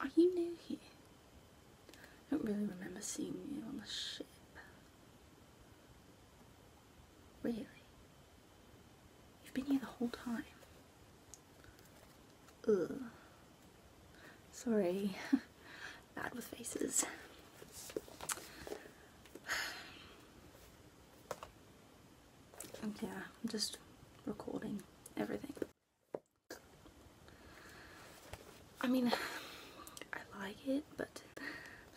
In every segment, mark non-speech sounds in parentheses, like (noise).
Are you new here? I don't really remember seeing you on the ship. Really? You've been here the whole time. Ugh. Sorry. (laughs) Bad with faces yeah, I'm just recording everything. I mean, I like it, but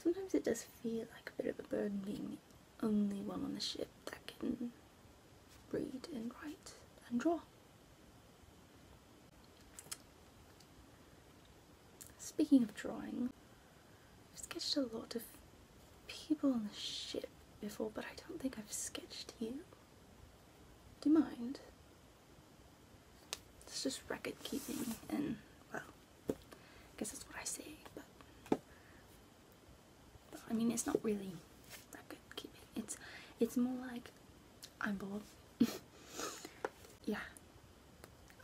sometimes it does feel like a bit of a burden being the only one on the ship that can read and write and draw. Speaking of drawing, I've sketched a lot of people on the ship before, but I don't think I've sketched you. Do you mind? It's just record keeping and, well, I guess that's what I say, but, I mean, it's not really record keeping. It's, it's more like, I'm bored. (laughs) yeah,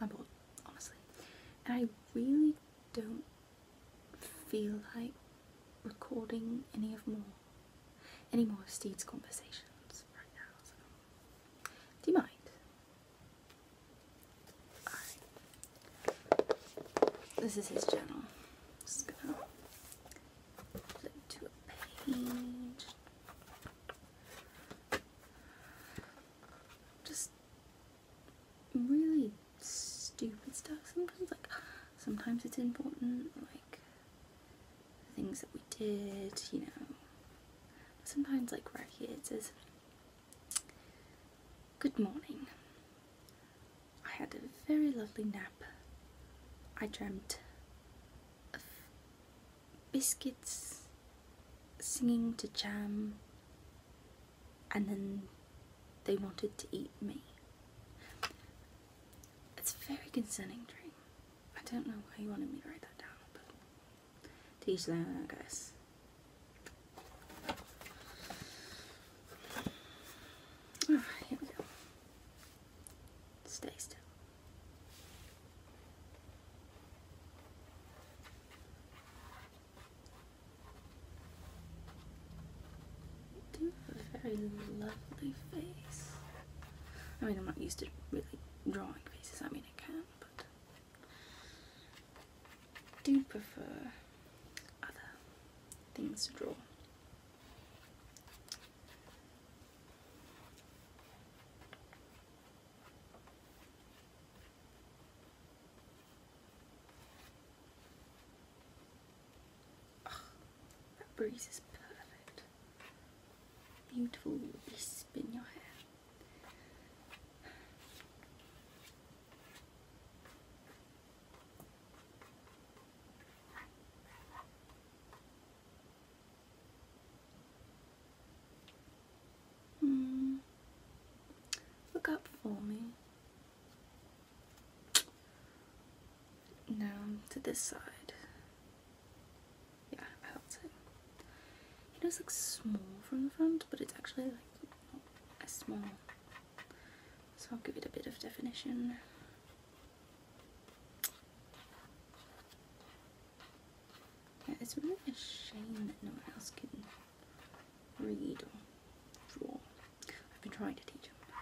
I'm bored, honestly. And I really don't feel like recording any of more any more of Steed's conversations right now. do you mind? This is his journal. Just really stupid stuff sometimes. Like sometimes it's important, like things that we did, you know. Sometimes like right here it says, "Good morning. I had a very lovely nap. I dreamt of biscuits." singing to jam and then they wanted to eat me. It's a very concerning dream. I don't know why you wanted me to write that down, but teach them, their I guess. here we go. Stay still. You do have a very lovely face. I mean, I'm not used to really drawing faces. I mean, I can, but do prefer other things to draw. Oh, that breeze is perfect. Beautiful wisp in your hair. Hmm. Look up for me. Now to this side. Yeah, I that's it. He does look small from the front, but it's actually like small. So I'll give it a bit of definition. Yeah, it's really a shame that no one else can read or I've been trying to teach him. Ah.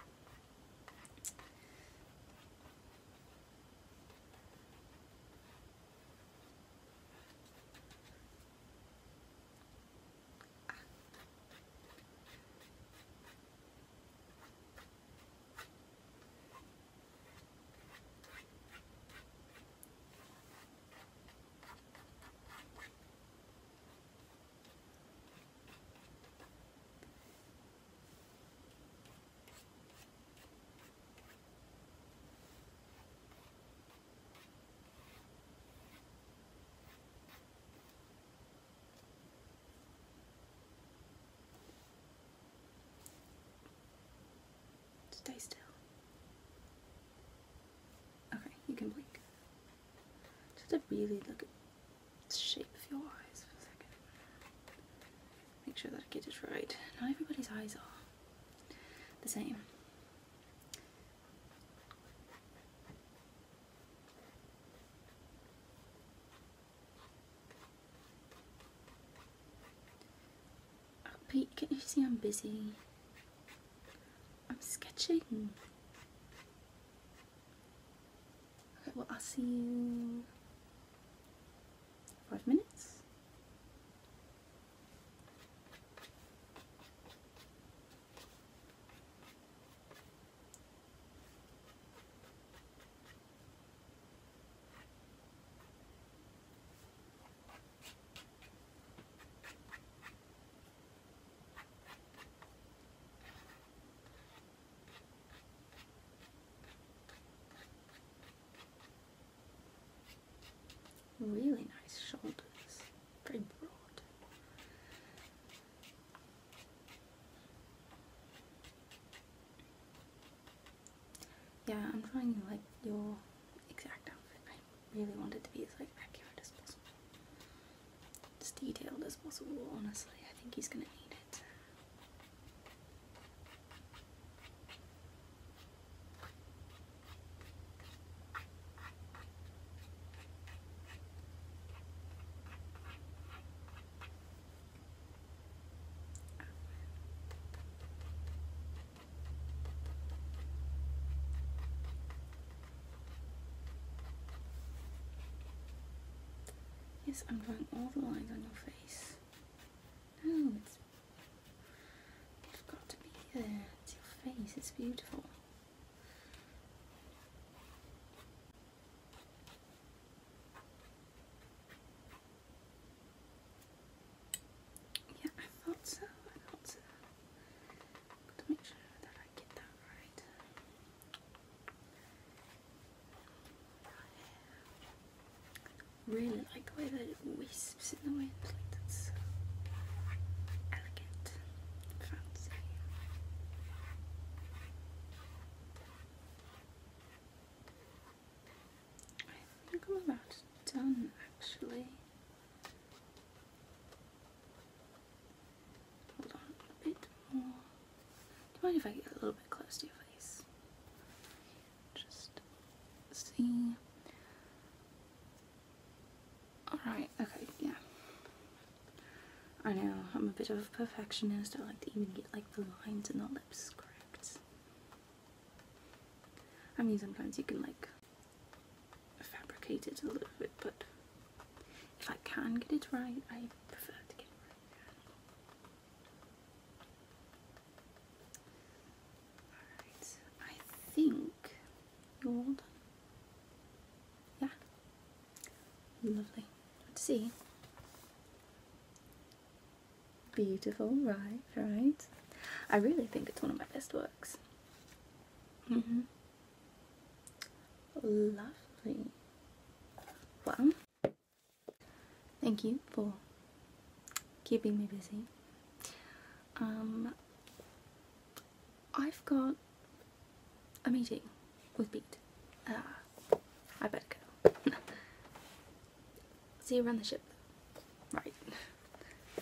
Stay still. Okay, you can blink. Just to really look at shape of your eyes for a second. Make sure that I get it right. Not everybody's eyes are the same. Uh, Pete, can you see I'm busy? I'm sketching. Okay, well, I'll see you five minutes. Really nice shoulders, very broad. Yeah, I'm trying like your exact outfit really wanted to be as like accurate as possible. As detailed as possible, honestly. I think he's gonna need it. Yes, I'm drawing all the lines on your face. No, it's, it's got to be there. It's your face. It's beautiful. Yeah, I thought so. I thought so really like the way that it wisps in the wind, like that's elegant, fancy. I think I'm about done actually. Hold on a bit more. Do you mind if I get a little bit close to your face? Just see. Alright, okay, yeah. I know, I'm a bit of a perfectionist. I like to even get like the lines and the lips correct. I mean, sometimes you can like fabricate it a little bit, but if I can get it right, I prefer to get it right. Alright, I think you're done. Yeah. Lovely. Let's see. Beautiful, right, right. I really think it's one of my best works. Mm-hmm. Lovely. Well, thank you for keeping me busy. Um, I've got a meeting with Pete. Ah, I better go. (laughs) See you around the ship. Right. (laughs)